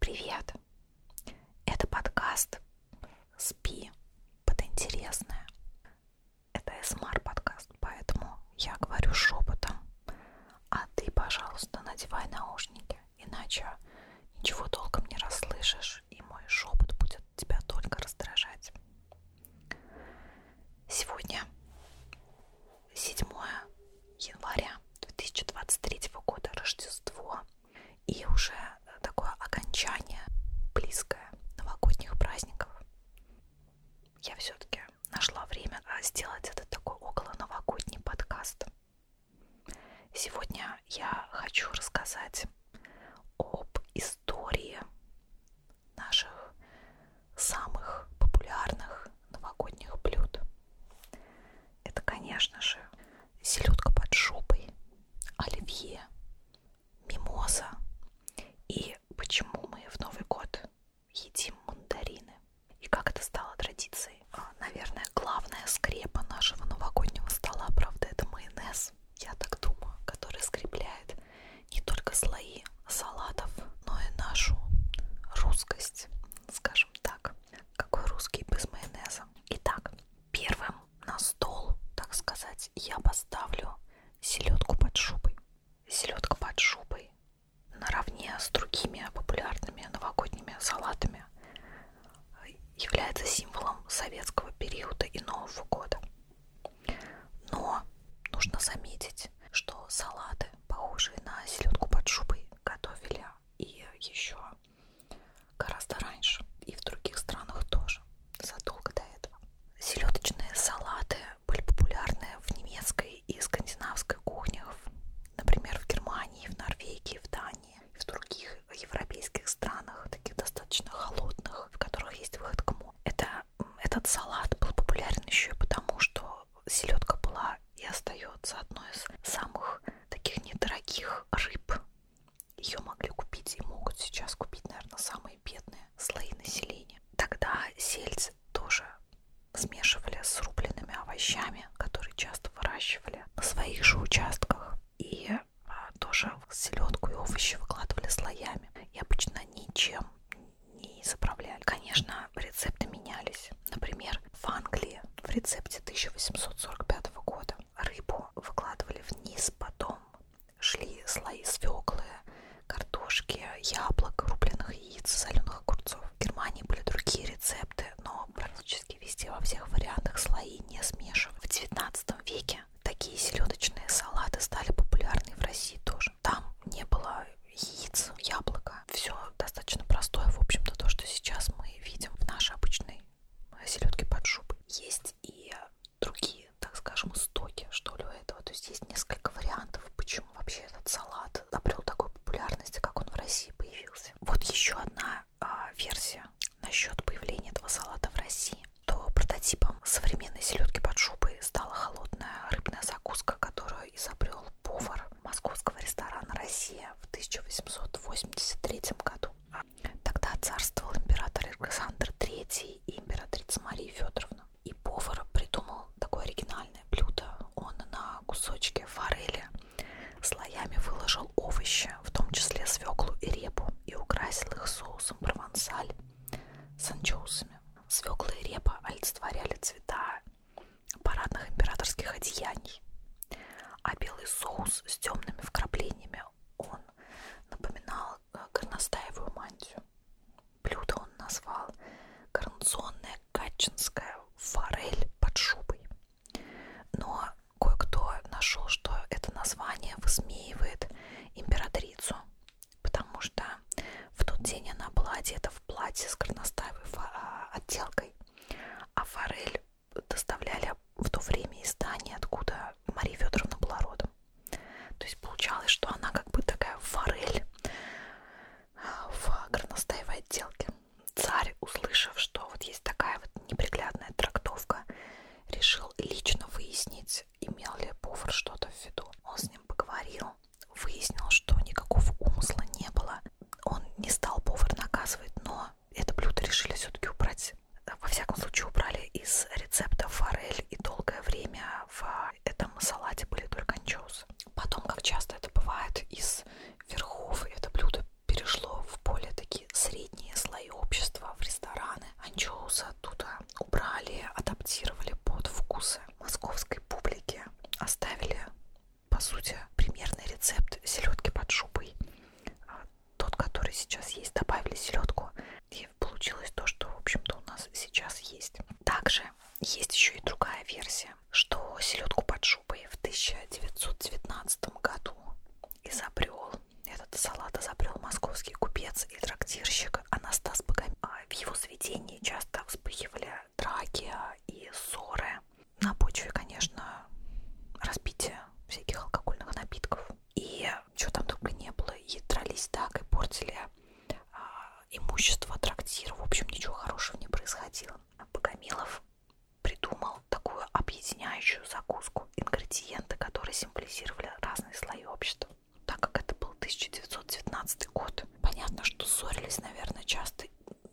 Привет! Это подкаст «Спи под интересное». Это СМР-подкаст, эм поэтому я говорю шепотом. А ты, пожалуйста, надевай наушники, иначе ничего толком не расслышишь, и мой шепот будет тебя только раздражать. Сегодня 7 января 2023 года, Рождество, и уже такое окончание близкое новогодних праздников. Я все-таки нашла время а, сделать этот такой около новогодний подкаст. Сегодня я хочу рассказать об истории наших самых популярных новогодних блюд это, конечно же, селедка под шубой, оливье, мимоза. И почему мы в Новый год едим мандарины? И как это стало традицией? А, наверное, главная скрепа нашего новогоднего стола, правда, это майонез, я так думаю, который скрепляет не только слои салатов, но и нашу русскость, скажем скажем так. Какой русский без майонеза. Итак, первым на стол, так сказать, я поставлю селедку под шубой. Селедка под шубой наравне с другими популярными новогодними салатами является символом советского периода и Нового года. Но нужно заметить, что салаты, похожие на селедку под шубой, готовили и еще гораздо раньше и в других странах тоже, задолго до этого. Селедочные салаты были популярны в немецкой и скандинавской кухнях, например, в Германии, в Норвегии, в Дании, в других европейских странах, таких достаточно холодных, в которых есть выход к морю. Это, этот салат был популярен еще и потому, что селедка была и остается одной из самых таких недорогих рыб. Ее могли купить и могут сейчас купить, наверное, самые бедные слои населения. Тогда сельдь тоже смешивали с рубленными овощами, которые часто выращивали на своих же участках. И а, тоже селедку и овощи выкладывали слоями. И обычно ничем не заправляли. Конечно, рецепты менялись. Например, в Англии в рецепте 1845 года рыбу выкладывали вниз, потом шли слои свеклы, картошки, яблок, рубленых яиц, соленых огурцов. В Германии были другие рецепты, но практически везде во всех вариантах слои не смешивали. В 19 веке такие селедочные салаты стали популярны в России тоже. Там не было яиц, яблока. Все достаточно простое, в общем-то, то, что сейчас мы видим в нашей обычной селедки под шубой. Есть и другие, так скажем, истоки, что ли, у этого. То есть есть несколько вариантов, почему вообще этот салат обрел такой популярности, как он в России появился. Вот еще одна а, версия насчет появления этого салата в России. То прототипом современной селедки под шубой стала холодная рыбная закуска, которую изобрел повар московского ресторана «Россия» в 1883 году. Тогда царствовал император Александр III и императрица Мария Федоровна. И повар придумал такое оригинальное блюдо. Он на кусочке форели слоями выложил овощи, в том числе свеклу и репу, и украсил их соусом провансаль с анчоусами. Свекла и репа олицетворяли цвета парадных императорских одеяний, а белый соус с темными вкраплениями, он напоминал э, горностаевую мантию. Блюдо он назвал «Коронационная гатчинская форель под шубой». Но кое-кто нашел, что это название высмеивает императрицу, потому что в тот день она была одета в платье с горностаевой а, отделкой, а форель доставляли в то время из Дании, откуда Мария Федоровна была родом. То есть получалось, что она как бы такая форель а, в горностаевой отделке. Царь, услышав, что вот есть такая вот неприглядная трактовка, решил лично выяснить, имел ли повар что-то в виду. Он с ним поговорил, выяснил, что никакого умысла не было. Он не стал повар наказывать, но это блюдо решили все-таки убрать. Во всяком случае, убрали из рецепта форель, и долгое время в этом салате были только анчоусы. Потом, как часто это бывает, из верхов это блюдо перешло в более такие средние слои общества, в рестораны. Анчоусы оттуда убрали, адаптировали под вкусы московской публики, оставили, по сути, примерный рецепт селедки под шубой тот, который сейчас есть, добавили селедку, и получилось то, что, в общем-то, у нас сейчас есть. Также есть еще и другая версия, что селедку под шубой в 1919 году изобрел этот салат изобрел московский купец и трактирщик Анастас Богомилов. А, в его заведении часто вспыхивали драки и ссоры на почве, конечно, разбития всяких алкогольных напитков. И что там только не было, и дрались так, и портили а, имущество трактира. В общем, ничего хорошего не происходило. Богомилов придумал такую объединяющую закуску, ингредиенты, которые символизировали разные слои общества. Так как это был 1919 год, понятно, что ссорились, наверное, часто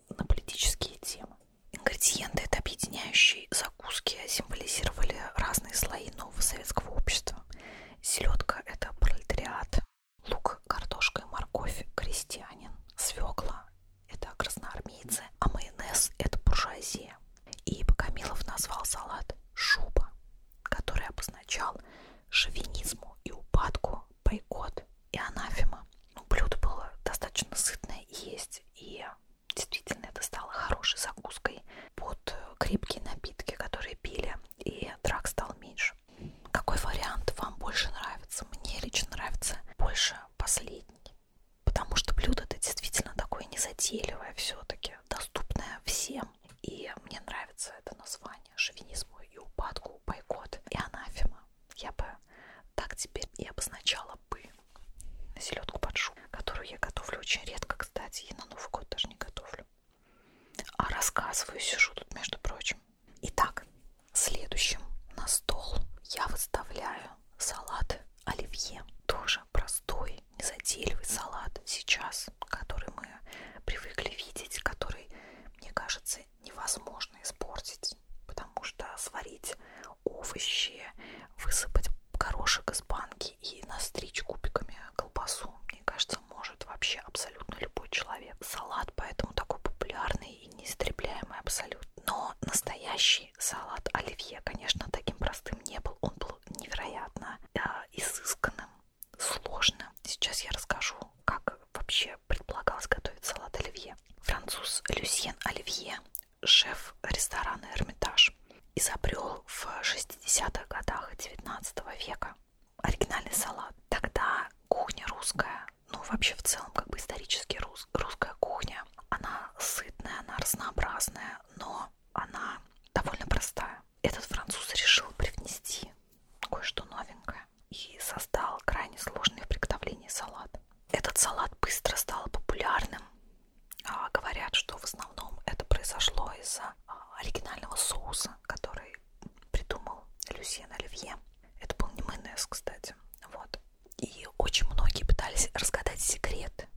на политические темы. Ингредиенты этой объединяющей закуски символизировали разные слои нового советского общества. Селедка – это пролетариат, лук, картошка и морковь – крестьянин, свекла – это красноармейцы, а майонез – это буржуазия. И Богомилов назвал салат «шуба», который обозначал шовинизму и упадку, бойкот и анафема. Ну, блюдо было достаточно сытное есть и Действительно, это стало хорошей закуской под э, крепкие напитки, которые пили, и драк стал меньше. Какой вариант вам больше нравится? Мне лично нравится больше последний, потому что блюдо-то действительно такое незатейливое все-таки, доступное всем. И мне нравится это название шовинизму и упадку, бойкот и анафема. Я бы так теперь и обозначала бы селедку под шубу, которую я готовлю очень редко, кстати, и на Новый год даже не готовлю. А рассказываю, сижу тут, между прочим. Итак, следующим на стол я выставляю салат оливье. Тоже простой, незатейливый салат сейчас, который мы привыкли видеть, который, мне кажется, невозможно испортить, потому что сварить овощи, высыпать горошек из банки и настричь кубиками колбасу, мне кажется, может вообще абсолютно любой человек. Салат поэтому такой популярный и неистребляемый абсолютно. Но настоящий салат оливье, конечно, таким простым не был. Он был невероятно да, изысканным, сложным. Сейчас я расскажу, как вообще предполагалось готовить салат оливье. Француз Люсьен Оливье шеф ресторана «Эрмитаж», изобрел в 60-х годах 19 века оригинальный салат. Тогда кухня русская, ну вообще в целом как бы исторически рус, русская кухня, она сытная, она разнообразная, но она довольно простая. Этот француз решил привнести кое-что новенькое и создал крайне сложный в приготовлении салат. Этот салат быстро стал популярным а, говорят, что в основном это произошло из-за а, оригинального соуса, который придумал Люсьен Оливье. Это был не майонез, кстати. Вот. И очень многие пытались разгадать секрет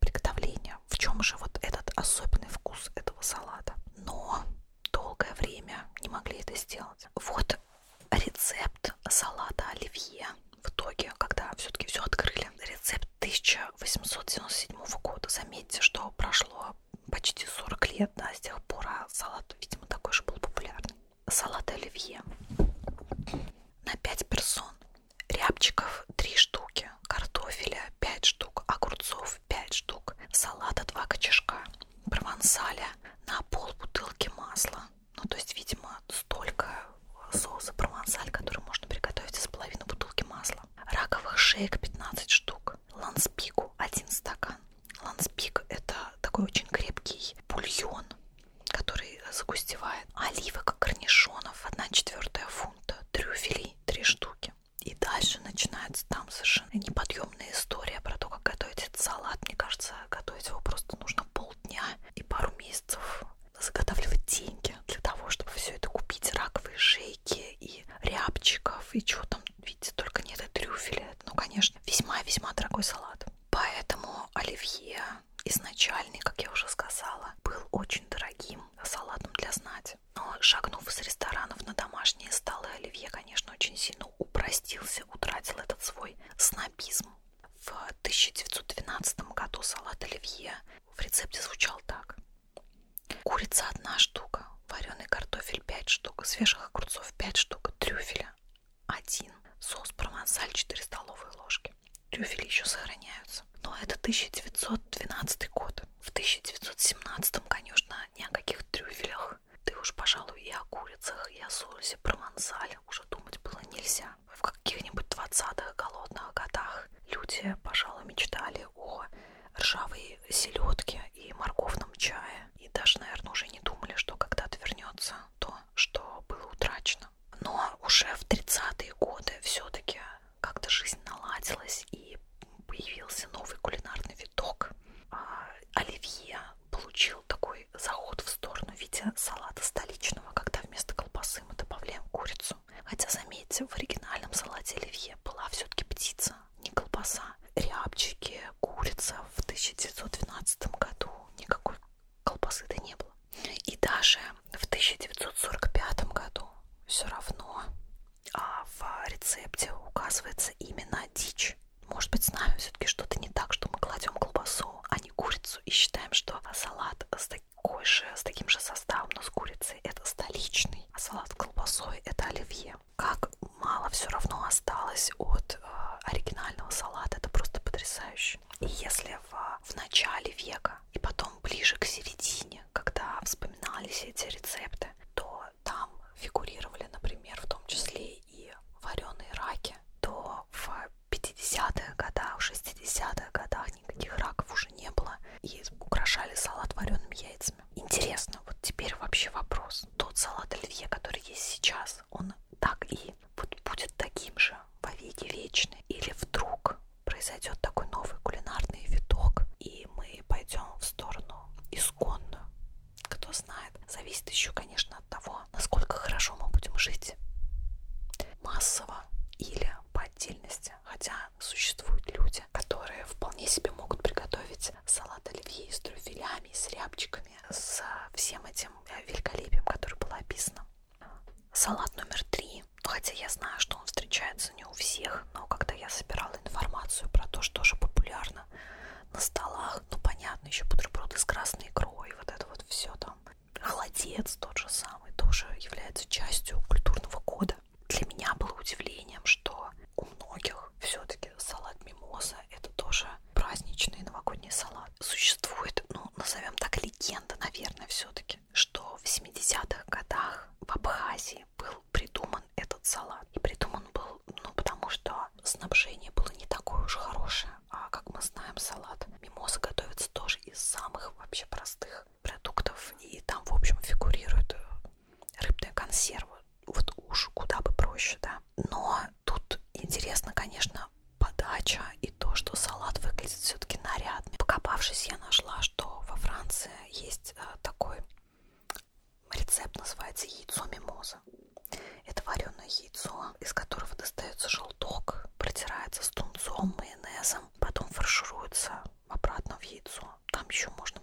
приготовления. В чем же вот этот особенный вкус этого салата? Но долгое время не могли это сделать. Вот рецепт салата оливье в итоге, когда все-таки все открыли, рецепт 1897 года. Заметьте, что прошло почти 40 лет, да, с тех пор, а салат, видимо, такой же был популярный. Салат оливье на 5 персон, рябчиков 3 штуки, картофеля 5 штук, огурцов 5 штук, салата 2 кочешка, провансаля на пол бутылки масла, ну, то есть, видимо, столько э, соуса провансаль, который можно приготовить из половины бутылки масла. Раковых шеек 15 штук. Ланспику 1 стакан. Ланспик – это такой очень крепкий бульон, который загустевает. Оливок корнишонов 1 четвертая фунта. Трюфели 3 штуки. И дальше начинается там совершенно неподъемная история про то, как готовить этот салат. Мне кажется, готовить его просто нужно полдня и пару месяцев заготавливать деньги для того, чтобы все это купить, раковые шейки и рябчиков, и чего там, видите, только нет и трюфеля. А ну, конечно, весьма-весьма дорогой салат. Поэтому оливье изначальный, как я уже сказала, был очень дорогим салатом для знати. Но шагнув из ресторанов на домашние столы, оливье, конечно, очень сильно упростился, утратил этот свой снобизм. В 1912 году салат оливье в рецепте звучал так. Курица одна штука, вареный картофель 5 штук, свежих огурцов 5 штук, трюфеля 1, соус провансаль 4 столовые ложки. Трюфели еще сохраняются. Но это 1912 год. В 1917, конечно, ни о каких трюфелях. Ты уж, пожалуй, и о курицах, и о соусе провансале уже думать было нельзя в каких-нибудь 20-х голодных годах люди, пожалуй, мечтали о ржавой селедке и морковном чае. И даже, наверное, уже не думали, что когда-то вернется то, что было утрачено. Но уже в 30-е годы все-таки как-то жизнь наладилась и появился новый кулинарный виток. А оливье получил такой заход в сторону в виде салата столичного, когда вместо колбасы мы добавляем курицу птицу. Хотя, заметьте, в оригинальном салате оливье была все-таки птица, не колбаса. Рябчики, курица в 1912 году никакой колбасы-то не было. И даже в 1945 году все равно а в рецепте указывается именно дичь. Может быть, с нами все-таки что-то не так, что мы кладем колбасу, а не курицу, и считаем, что салат с таким такой же, с таким же составом, но с курицей это столичный, а салат с колбасой это оливье. Как мало все равно осталось от э, оригинального салата, это просто потрясающе. И если в, в начале века и потом ближе к середине, когда вспоминались эти рецепты, то там фигурировали, например, в том числе и вареные раки, то в 50-х годах, 60-х годах никаких раков уже не было. И украшали салат вареными яйцами. Интересно, вот теперь вообще вопрос. Тот салат оливье, который есть сейчас, он так и вот будет таким же во веки вечный? Или вдруг произойдет такой новый кулинарный виток, и мы пойдем в сторону исконную? Кто знает. Зависит еще, конечно, от того, насколько хорошо мы будем жить массово или по отдельности. Хотя существуют люди, которые вполне себе могут приготовить салат оливье с трюфелями, с рябчиками, с всем этим э, великолепием, которое было описано. Салат номер три. Хотя я знаю, что он встречается не у всех, но когда я собирала информацию про то, что же популярно на столах, ну понятно, еще бутерброды с красной икрой, вот это вот все там, Холодец тот же самый тоже является частью культурного кода. Для меня было удивлением, что у многих все-таки салат мимоза это тоже праздничный новогодний салат. Существует, ну, назовем так, легенда, наверное, все-таки, что в 70-х годах в Абхазии был придуман этот салат. И придуман был, ну, потому что снабжение было не такое уж хорошее. А как мы знаем, салат мимоза готовится тоже из самых вообще простых рыбных продуктов, и там, в общем, фигурируют э, рыбные консервы. Вот уж куда бы проще, да. Но тут интересно, конечно, подача и то, что салат выглядит все-таки нарядный. Покопавшись, я нашла, что во Франции есть э, такой рецепт, называется яйцо мимоза. Это вареное яйцо, из которого достается желток, протирается с тунцом, майонезом, потом фаршируется обратно в яйцо. Там еще можно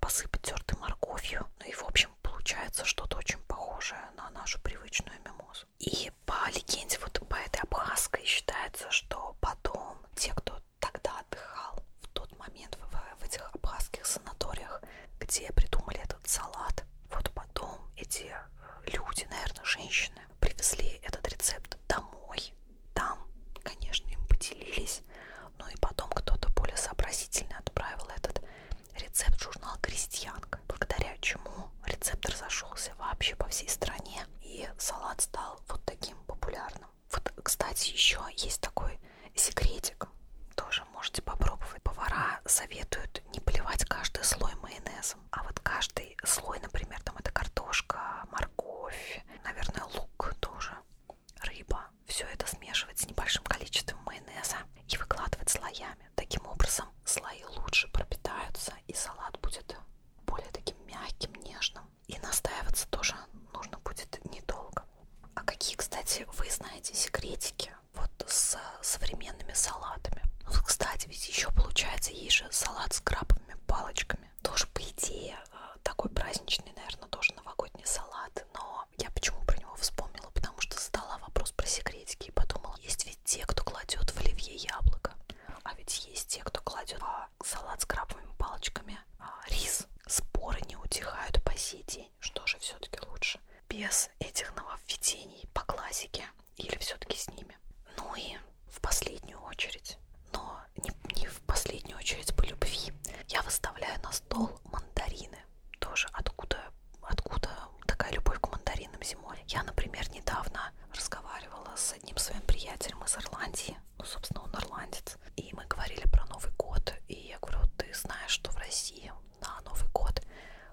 посыпать тертой морковью. Ну и в общем получается что-то очень похожее на нашу привычную мимозу. И по легенде, вот по этой абхазской считается, что потом те, кто тогда отдыхал в тот момент в, в этих абхазских санаториях, где придумали этот салат, вот потом эти э, люди, наверное, женщины, привезли этот рецепт домой. Там, конечно, им поделились. Ну и потом кто-то более сообразительно отправил этот рецепт в журнал «Крестьянка», благодаря чему рецепт разошелся вообще по всей стране, и салат стал вот таким популярным. Вот, кстати, еще есть такой секретик, тоже можете попробовать. Повара советуют не поливать каждый слой майонеза вкусом. А вот каждый слой, например, там это картошка, морковь, наверное, лук тоже, рыба. Все это смешивать с небольшим количеством майонеза и выкладывать слоями. Таким образом, слои лучше пропитаются и салат будет более таким мягким, нежным. И настаиваться тоже нужно будет недолго. А какие, кстати, вы знаете секретики вот с современными салатами? Вот, ну, кстати, ведь еще получается есть же салат с крабовыми палочками. Тоже, по идее, э, такой праздничный, наверное, тоже новогодний салат. Но я почему про него вспомнила? Потому что задала вопрос про секретики и подумала, есть ведь те, кто кладет в оливье яблоко. А ведь есть те, кто кладет а, салат с крабовыми палочками, а, рис. Споры не утихают по сей день. Что же все-таки лучше? Без этих нововведений по классике или все-таки с ними? Ну и в последнюю очередь, но не, не в последнюю очередь по любви. Я выставляю на стол мандарины, тоже откуда, откуда такая любовь к мандаринам зимой. Я, например, недавно разговаривала с одним своим приятелем из Ирландии, ну, собственно, он ирландец, и мы говорили про Новый год, и я говорю, ты знаешь, что в России на Новый год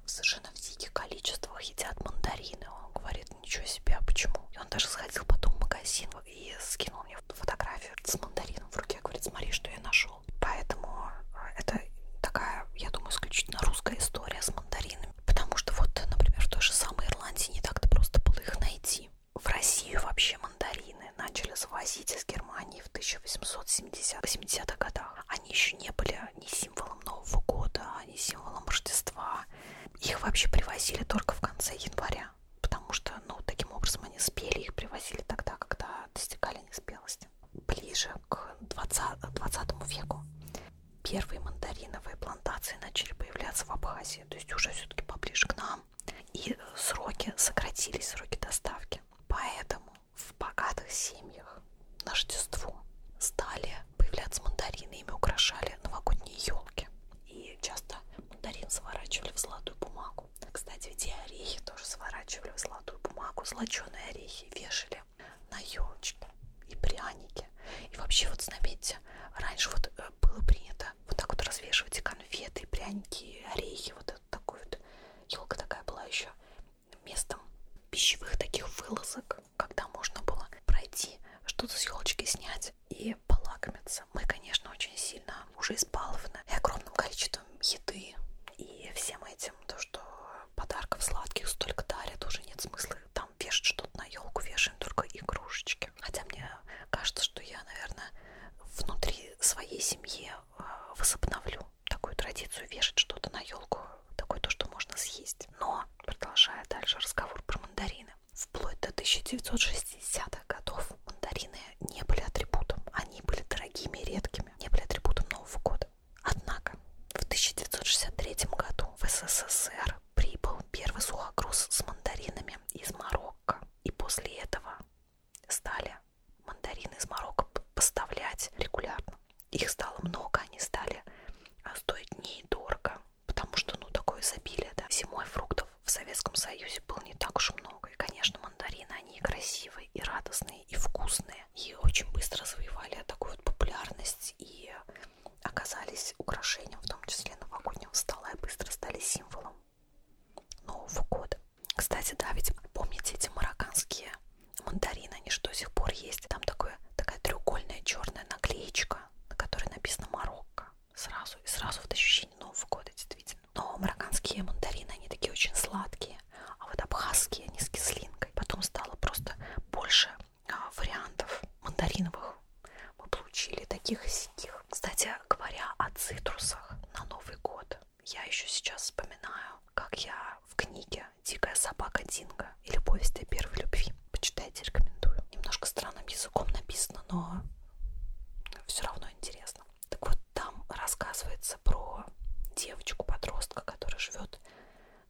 совершенно в диких количествах едят мандарины. Он говорит, ничего себе, а почему? И он даже сходил потом в магазин и скинул мне фотографию с мандарином в руке, говорит, смотри, что я нашел. Поэтому э, это такая, я думаю, исключительно русская история с мандаринами. Потому что вот, например, в той же самой Ирландии не так-то просто было их найти. В Россию вообще мандарины начали завозить из Германии в 1870-80-х годах. Они еще не были ни символом Нового года, ни символом Рождества. Их вообще привозили только в конце января, потому что, ну, таким образом они спели, их привозили тогда, когда достигали неспелости. Ближе к 20, 20 веку первые мандариновые плантации начали появляться в Абхазии, то есть уже все-таки поближе к нам. И э, сроки сократились, сроки доставки. Поэтому в богатых семьях на Рождество стали появляться мандарины, ими украшали новогодние елки. И часто мандарин сворачивали в золотую бумагу. Кстати, ведь и орехи тоже сворачивали в золотую бумагу. Золоченые орехи вешали на елочки и пряники. И вообще, вот заметьте, раньше вот э, было принято вот так вот развешивать и конфеты, и пряники, и орехи. Вот это такой вот елка такая была еще местом пищевых таких вылазок, когда можно было пройти, что-то с елочки снять, и полакомиться. Мы, конечно, очень сильно уже избалованы и огромным количеством еды и всем этим, то, что подарков сладких столько дарят, уже нет смысла там вешать что-то на елку, вешаем только игрушечки. Хотя мне кажется, что я, наверное, внутри своей семьи э, возобновлю такую традицию вешать что-то на елку, такое то, что можно съесть. Но, продолжая дальше разговор про мандарины, мандарины. Вплоть до 1960-х годов мандарины не были атрибутом, они были дорогими и редкими, не были атрибутом Нового года. Однако в 1963 году в СССР прибыл первый сухогруз с мандаринами из Марокко, и после этого стали мандарины из Марокко поставлять регулярно. Их стало много, они стали а, стоить недорого потому что, ну, такое изобилие, да. Зимой фруктов в Советском Союзе было не так уж много. И, конечно, мандарины, они и красивые, и радостные, и вкусные. И очень быстро завоевали такую вот популярность и оказались украшением, в том числе новогоднего стола, и быстро стали символом Нового года. Кстати, да, ведь помните эти марокканские мандарины, они же до сих пор есть. Там такое, такая треугольная черная наклеечка, на которой написано «Марокко» сразу, и сразу вот ощущение Нового года, действительно. Но марокканские мандарины, они такие очень сладкие, а вот абхазские, они с кислинкой. Потом стало просто больше а, вариантов мандариновых. Мы получили таких и сяких. Кстати, говоря о цитрусах на Новый год, я еще сейчас вспоминаю, как я в книге «Дикая собака Динго» и «Любовь этой первой любви» книжки. Почитайте, рекомендую. Немножко странным языком написано, но все равно интересно. Так вот, там рассказывается про девочку-подростка, которая живет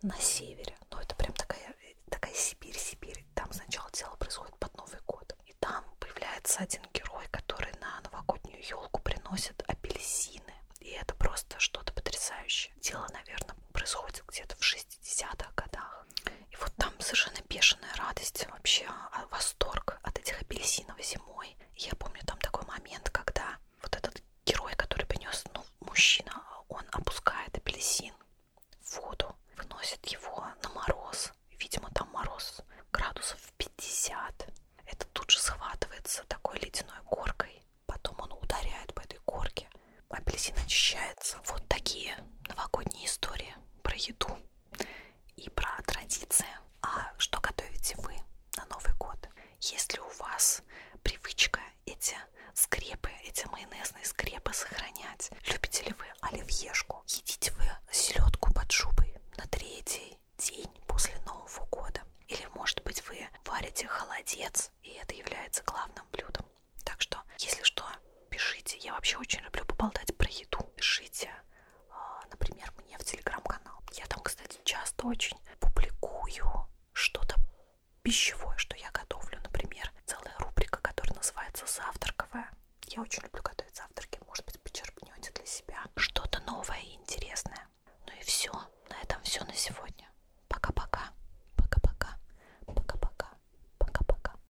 на севере. Ну, это прям такая, такая Сибирь, Сибирь. Там сначала дело происходит под Новый год. И там появляется один герой, который на новогоднюю елку приносит апельсины. И это просто что-то потрясающее. Дело, наверное, происходит где-то в 60-х годах. И вот там совершенно бешеная радость, вообще а, восторг от этих апельсинов зимой. Я помню там такой момент, когда вот этот герой, который принес, ну, мужчина, он опускает апельсин в воду, выносит его на мороз. Видимо, там мороз градусов 50. Это тут же схватывается такой ледяной горкой. Потом он ударяет по этой горке. Апельсин очищается. Вот такие новогодние истории про еду и про традиции. А что готовите вы на Новый год? Есть ли у вас привычка эти скрепы, эти майонезные скрепы сохранять? Любите ли вы оливьешку? Едите вы селедку под шубой на третий день после Нового года? Или, может быть, вы варите холодец, и это является главным блюдом? Так что, если что, пишите. Я вообще очень люблю поболтать про еду. Пишите, а, например, мне в телеграм-канал. Я там, кстати, часто очень публикую что-то пищевое, что я готовлю. Например, целая рубрика, которая называется «Завтраковая». Я очень люблю готовить завтраки. Может быть, почерпнете для себя что-то новое и интересное. Ну и все. На этом все на сегодня. Пока-пока. Пока-пока. Пока-пока. Пока-пока.